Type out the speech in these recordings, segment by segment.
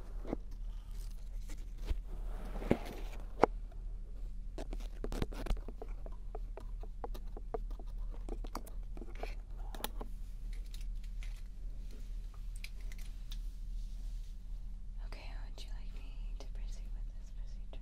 Okay, how would you like me to proceed with this procedure?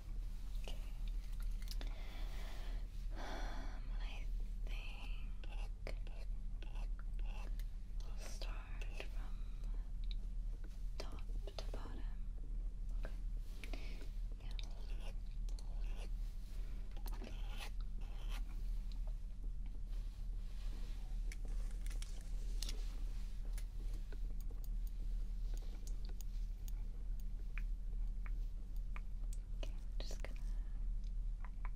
Okay. Um, I think we'll start from top to bottom. Okay. Okay, I'm just gonna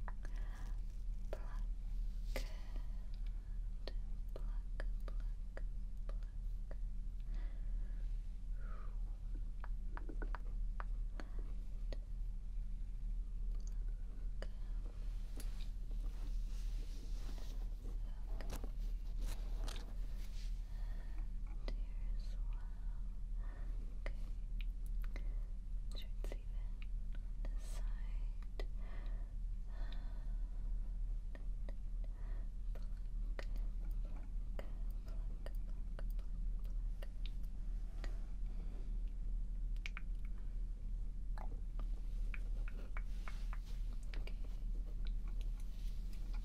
pluck and pluck, pluck, pluck. And pluck. And here's one. Okay. Sure it's even on this side. Pluck, pluck, Okay.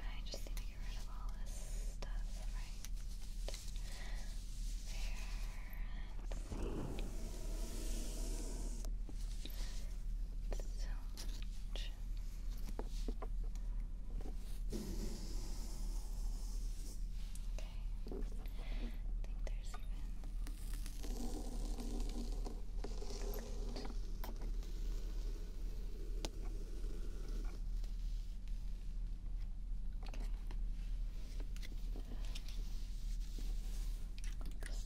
I just need to get rid of all this stuff, right? There, let So much. Okay. Okay.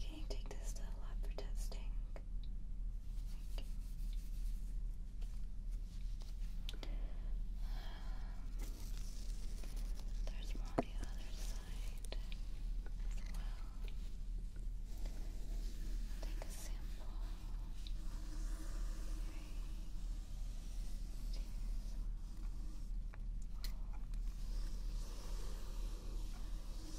can you take this to lab for testing? There's more the other side as well. Take a sample.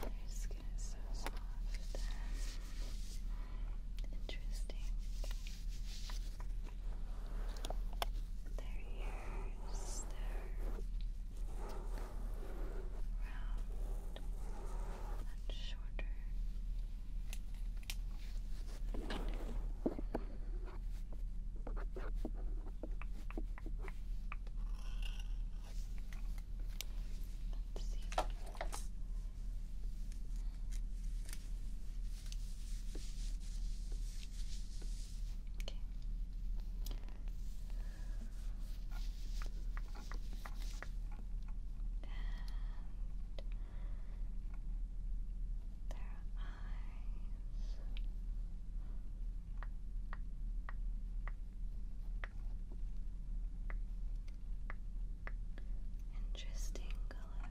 Your skin is so soft. Interesting. Their ears, they're round and shorter. Let's see. Their Okay. And their eyes. Interesting color.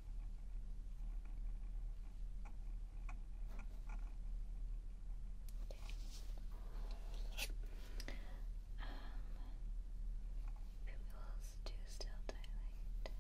Okay. Um, pupils do still dilate with light.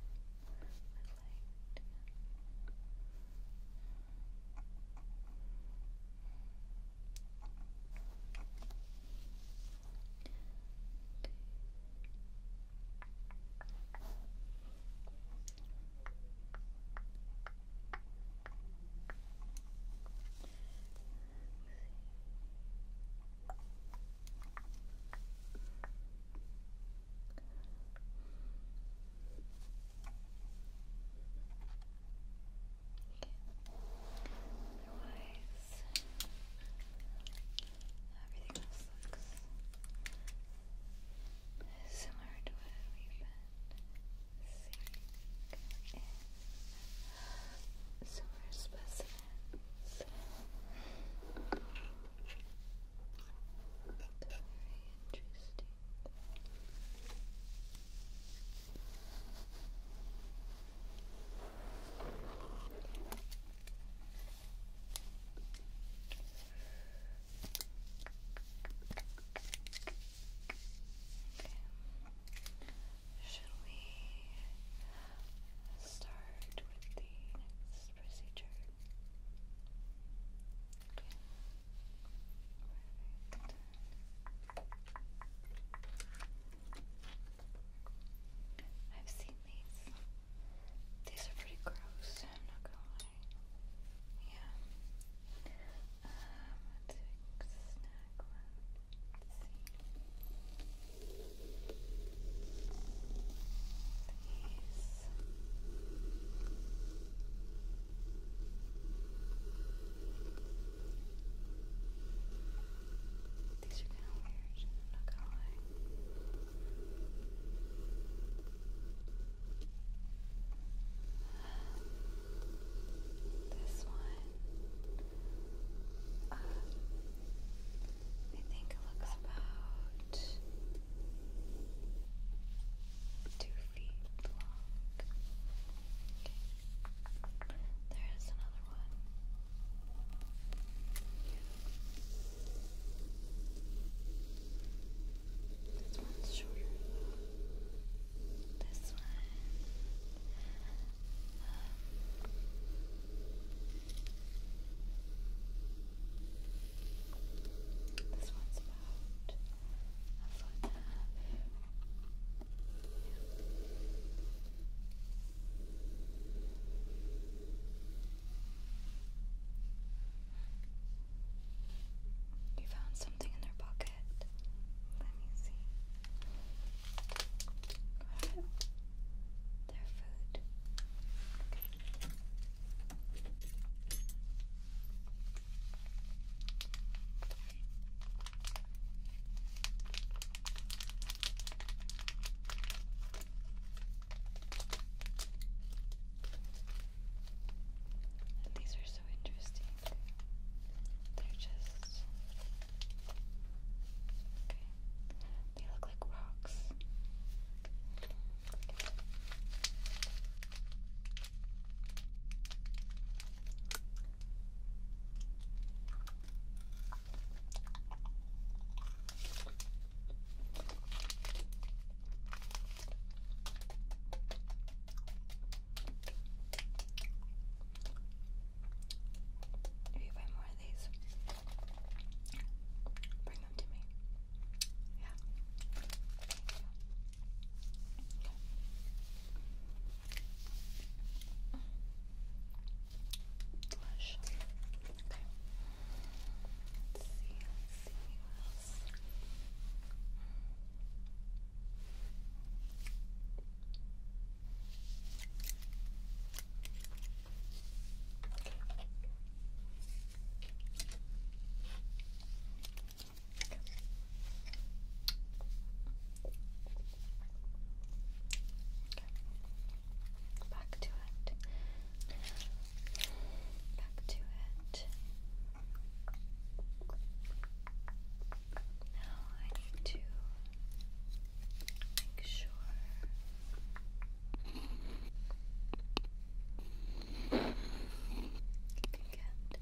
Otherwise, everything else looks similar to what we've been seeing in summer specimens. That's very interesting. Should we start with the next procedure? I've seen these. These are pretty gross, yeah. Um, let's snack one. see. These. These are kind of weird. I'm not gonna lie. This one, uh, I think looks about two feet long. There's another one. This one's shorter. This one. Um, this one's about a foot and a half. Yeah. You found something in their pocket. Let me see. Their food. And these are so interesting. They're just They look like rocks. If you buy more of these, bring them to me. Yeah. Okay. Okay. Back to it back to it. Now I need to make sure you can get all of these.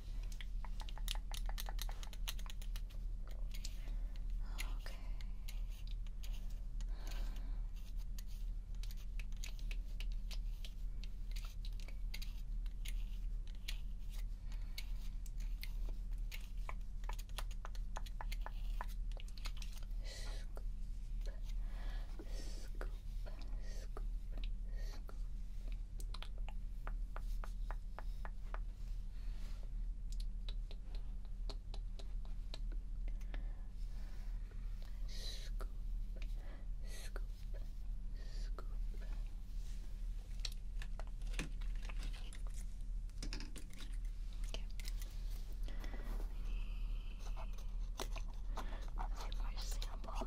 Okay. Scoop, scoop, scoop, scoop, Scoop, scoop, scoop. Okay. I samples.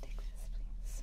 Take this, please.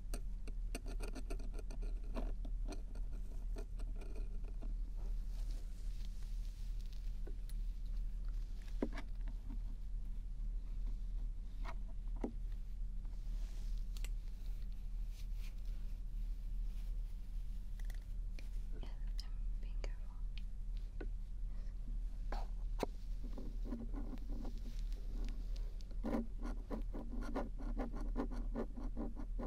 being careful.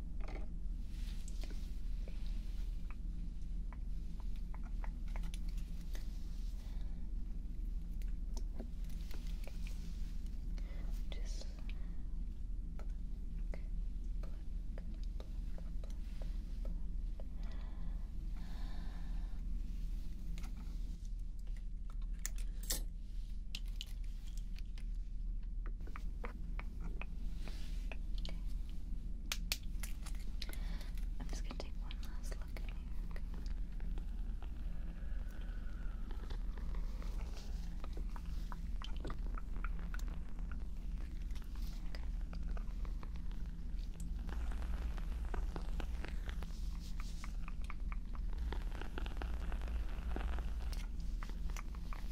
Just pluck, pluck, pluck, pluck, pluck. I'm just gonna take one last look in here. Okay.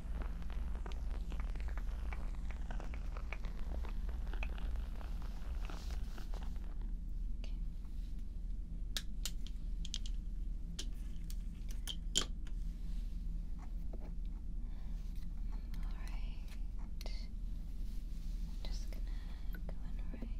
I'm just gonna go in right.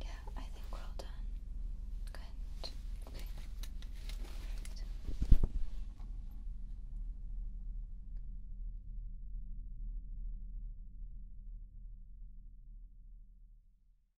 Yeah, I think we're all done. Good. Okay.